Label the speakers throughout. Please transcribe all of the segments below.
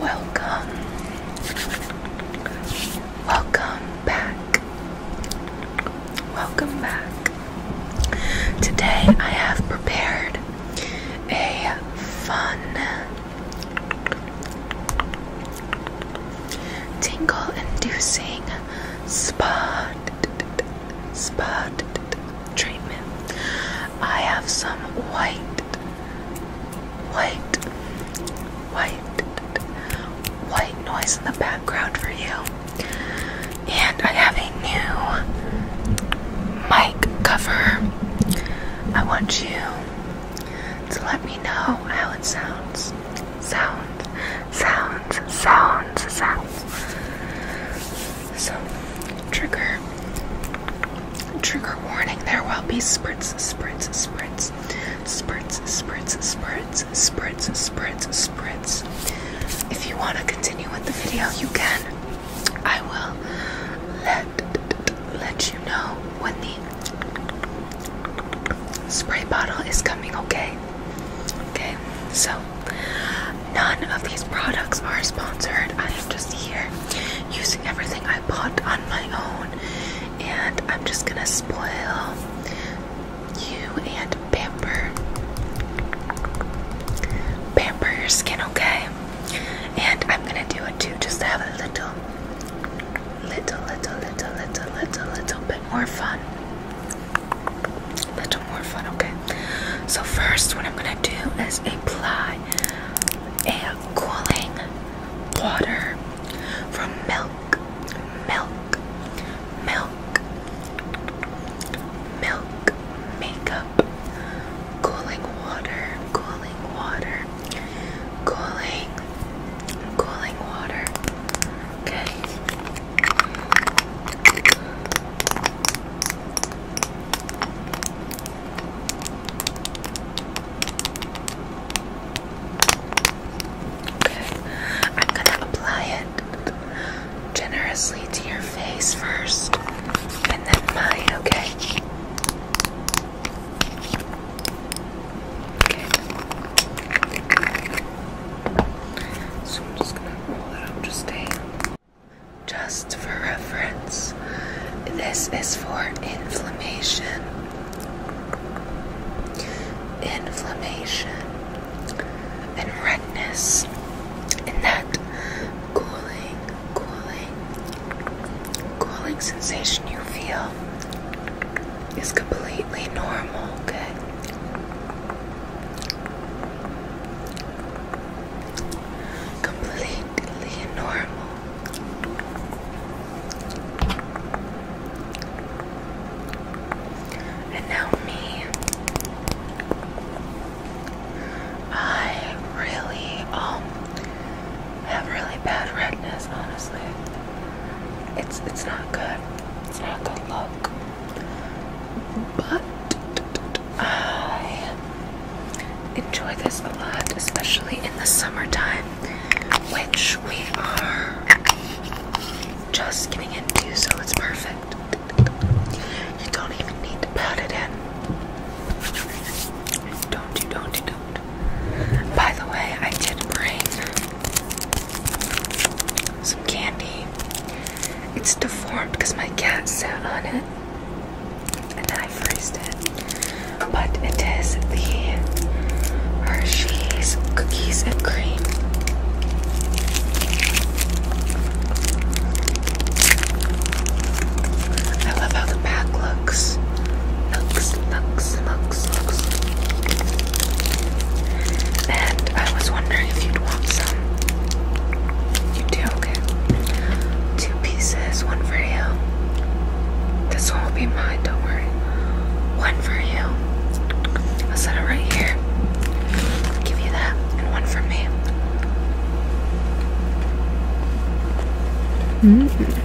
Speaker 1: Welcome. Welcome back. Welcome back. Today I have prepared a fun tingle inducing spa spot treatment. I have some white, white, white, white noise in the background for you. And I have a new mic cover. I want you to let me know how it sounds. Sound, Sound. Sound. Sound. So, trigger, trigger warning. There will be spritz, spritz, spritz, spritz, spritz, spritz, spritz, spritz, spritz. If you want to continue with the video, you can. I will let let you know when the spray bottle is coming. Okay. Okay. So, none of these products are sponsored. I am just here using everything I bought on my own, and I'm just gonna spoil you and pamper pamper your skin, okay? And I'm gonna do it too, just to have a little, little, little, little, little, little, little bit more fun. Little more fun, okay? So first, what I'm gonna do is apply and cooling water from milk, milk, milk, milk, makeup, cooling water, cooling water, cooling, cooling water. Okay. Okay, I'm gonna apply it generously to your face first and then mine, okay? Okay. So I'm just gonna roll it up, just stay just for reference, this is for inflammation. Inflammation and redness, and that cooling, cooling, cooling sensation you feel is completely normal, okay? completely normal. And now, me, I really um have really bad redness. Honestly, it's it's not good. It's not good look. But I enjoy this a lot, especially in the summertime, which we are just getting into, so it's perfect. You don't even need to pat it in. Don't you, don't you, don't. By the way, I did bring some candy. It's deformed because my cat sat on it and I froze it. But it is the Hershey's Cookies and Cream. I love how the pack looks. Looks, looks, looks, looks. And I was wondering if you'd want some. You do. Two pieces, one for you. This one will be mine, don't worry. One for you. I'll set it right here. Give you that, and one for me. hmm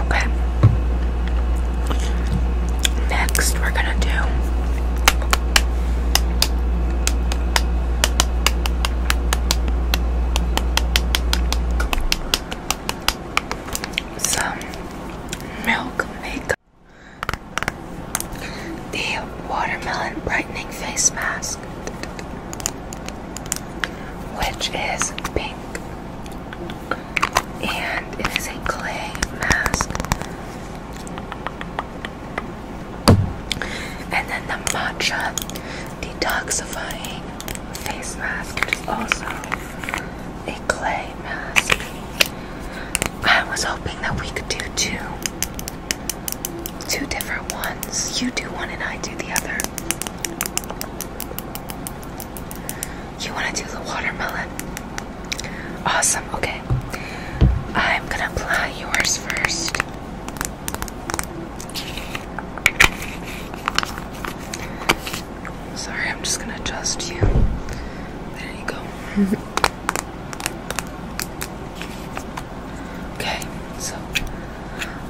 Speaker 1: Okay. Next, we're gonna do some milk makeup. The watermelon brightening face mask, which is pink, and it is a clay mask and then the matcha detoxifying face mask, which is also a clay mask. I was hoping that we could do two two different ones. You do one and I do the other. You want to do the watermelon? Awesome, okay. I'm gonna apply yours first. Sorry, I'm just gonna adjust you. There you go. okay, so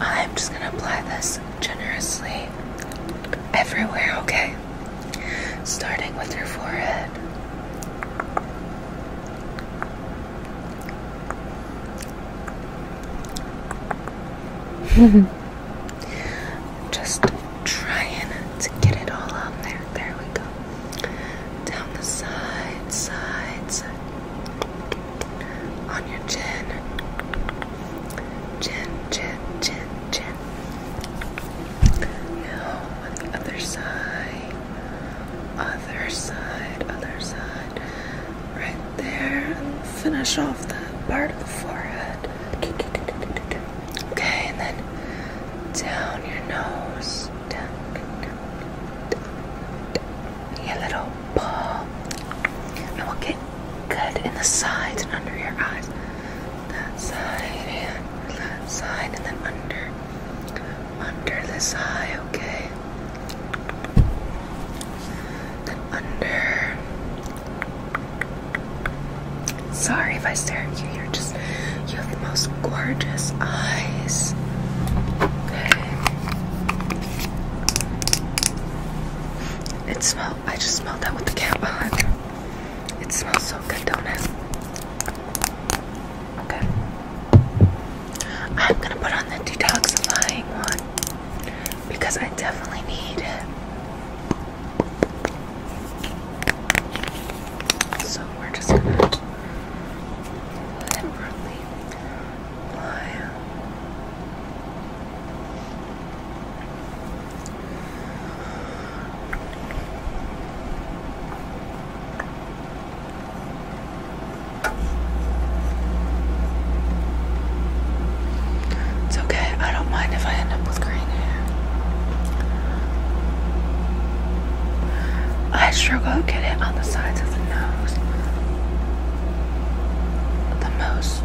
Speaker 1: I'm just gonna apply this generously everywhere, okay? starting with your forehead. Just trying to get it all on there. There we go. Down the side, side, side. On your chin. Chin, chin, chin, chin. Now on the other side, other side, other side, right there. Finish off that part of the forehead. Okay, and then down your nose, down, down, down your little paw, and we'll get good in the sides and under your eyes that side and that side and then under under this eye, okay? Then under Sorry if I stare at you, you're just you have the most gorgeous eyes. Okay. It smells I just smelled that with the cat on. It smells so good, don't it? Okay. I'm gonna put on the detoxifying one because I definitely need it. So we're just gonna liberally apply. It's okay, I don't mind if I end up with green hair. I struggle to get it on the sides of the nose the most.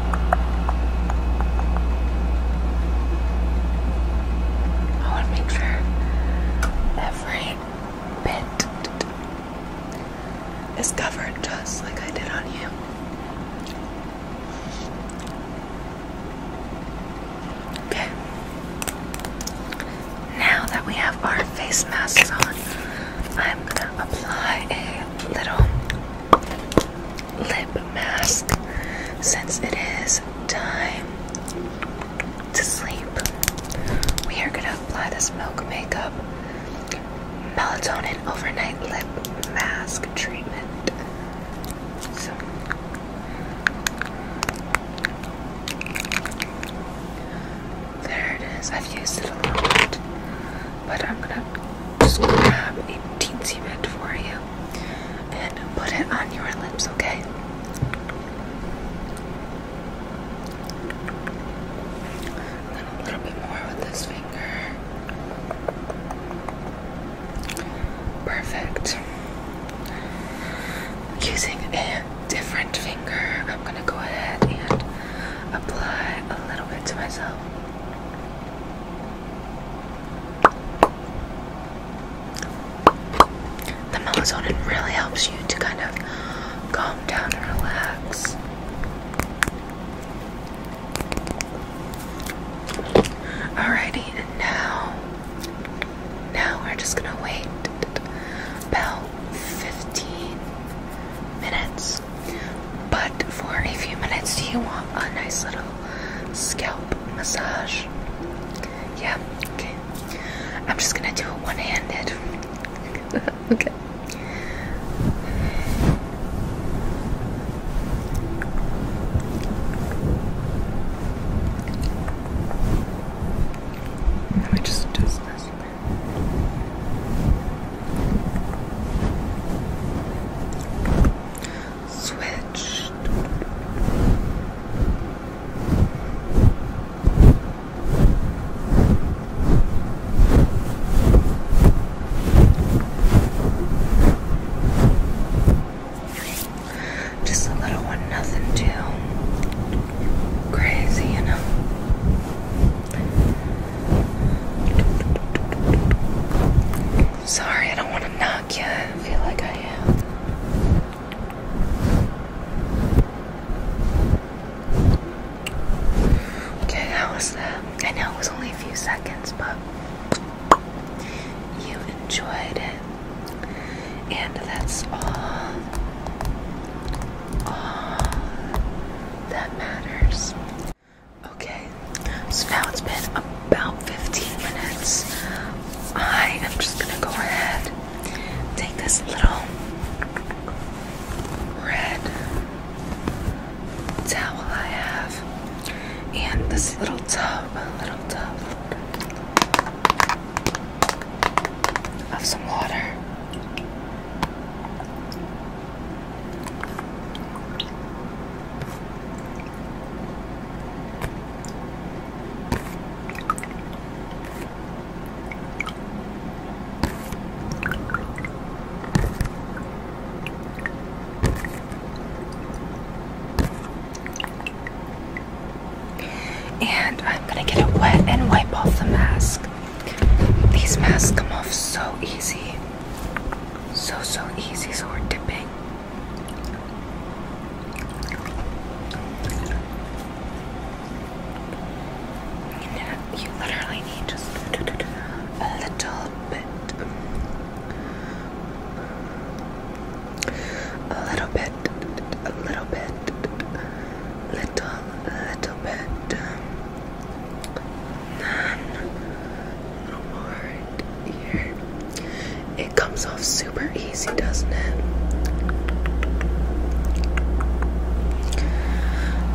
Speaker 1: I want to make sure every bit is covered just like I did on you. Okay. Now that we have our face masks on, I'm gonna apply a little lip mask since it is time to sleep. We are going to apply this Milk Makeup Melatonin Overnight Lip Mask Treatment. So, there it is. I've used it a lot, but I'm gonna just grab a teensy bit for you and put it on your lips, okay? a little bit more with this finger. Perfect. Using a different finger, I'm gonna go ahead and apply a little bit to myself. The melatonin really helps you to kind of calm down and relax. Alrighty, and now, now we're just gonna wait about 15 minutes but for a few minutes, do you want a nice little scalp massage? Yeah, okay. I'm just gonna do it one handed. okay. Let just do this. Switched. Just a little one, nothing too crazy, you know. Sorry, I don't want to knock you. I feel like I am. Okay, how was that? Uh, I know it was only a few seconds, but you enjoyed it. And that's All that matters. Okay, so now it's been about 15 minutes. I am just gonna go ahead, take this little red towel I have, and this little tub, little tub of some water. And I'm gonna get it wet and wipe off the mask. These masks come off so easy. So, so easy. So, we're dipping. You, you literally need just a little bit. A little bit, a little bit, little, little bit. It comes off super easy, doesn't it?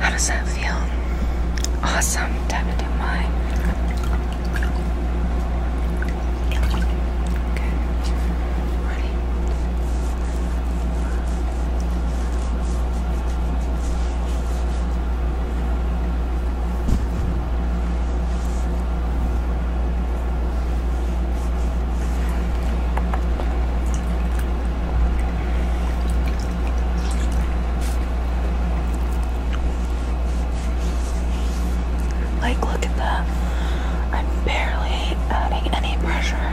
Speaker 1: How does that feel? Awesome. Time to do mine. Okay. Ready? Like, look at that. I'm barely adding any pressure.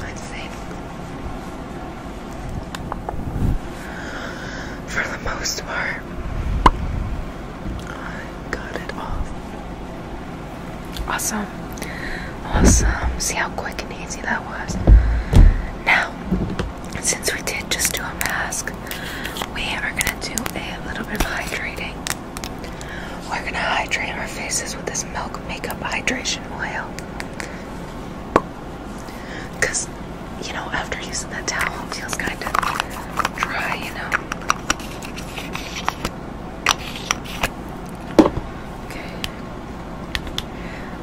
Speaker 1: Let's see. For the most part, I got it off. Awesome. Awesome. See how quick and easy that was. Now, since we did just do a mask, we are going to do a little bit of hydrating. We're gonna hydrate our faces with this milk makeup hydration oil. Cause you know, after using that towel, it feels kind of dry, you know. Okay.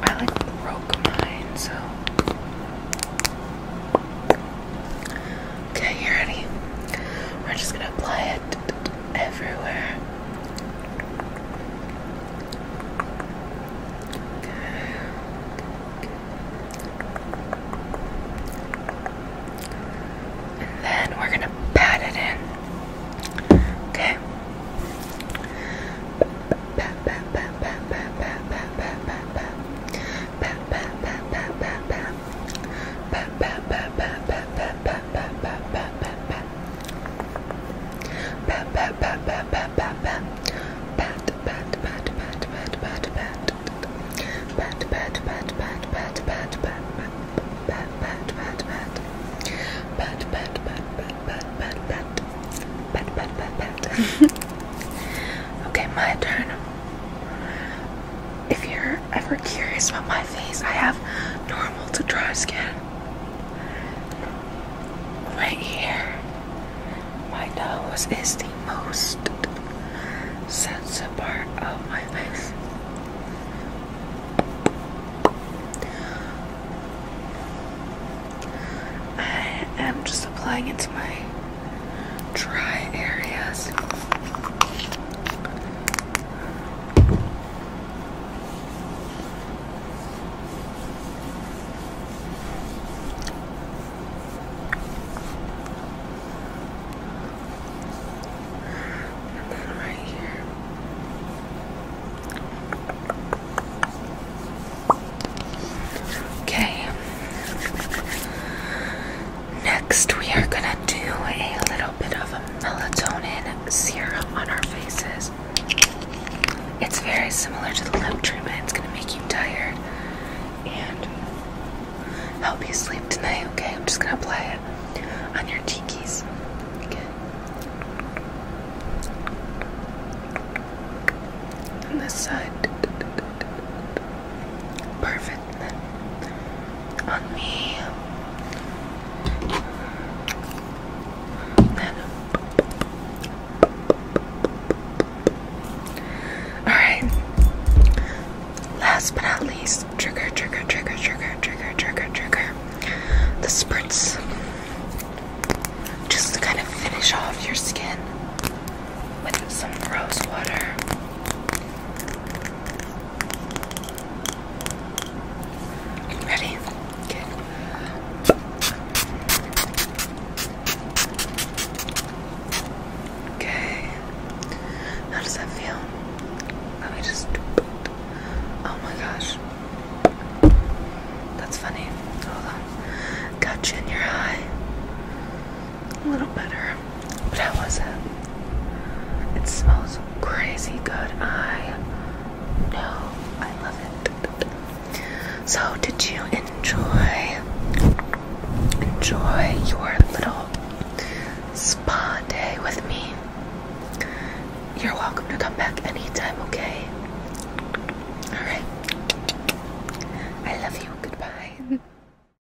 Speaker 1: I like broke mine, so Okay, you ready? We're just gonna apply it everywhere. And then we're gonna pat it in. Okay pat, pat, pat, pat, pat, pat, pat, pat, pat, pat, pat, pat. Pat, pat, pat, pat, pat, pat, pat. Pat, pat, pat, pat, pat, pat, pat. Pat, pat, pat, pat, pat, pat, pat, pat. Pat, pat, pat, pat. Pat, pat, pat, pat, pat, pat, pat. Pat, pat, pat, pat. Okay, my turn. If you're ever curious about my face, I have normal to dry skin. Right here, my nose is the most sensitive part of my face. I am just applying it to my dry areas. And then right here. Okay. Next, we are gonna do a little bit of a melatonin serum on our faces. It's very similar to the lip treatment. It's gonna make you tired and help you sleep tonight. Okay, I'm just gonna apply it on your cheekies. Okay. On this side. Perfect on me. Alright. Last but not least, trigger, trigger, trigger, trigger, trigger, trigger, trigger. The spritz. Just to kind of finish off your skin with some rose water. Ready? Good. Okay. How does that feel? Let me just. Oh my gosh. That's funny. Hold Got you in your eye a little better. But how was it? It smells crazy good. I know. I love it. So, did you enjoy enjoy your little spa day with me? You're welcome to come back anytime, okay? Alright. I love you. Goodbye.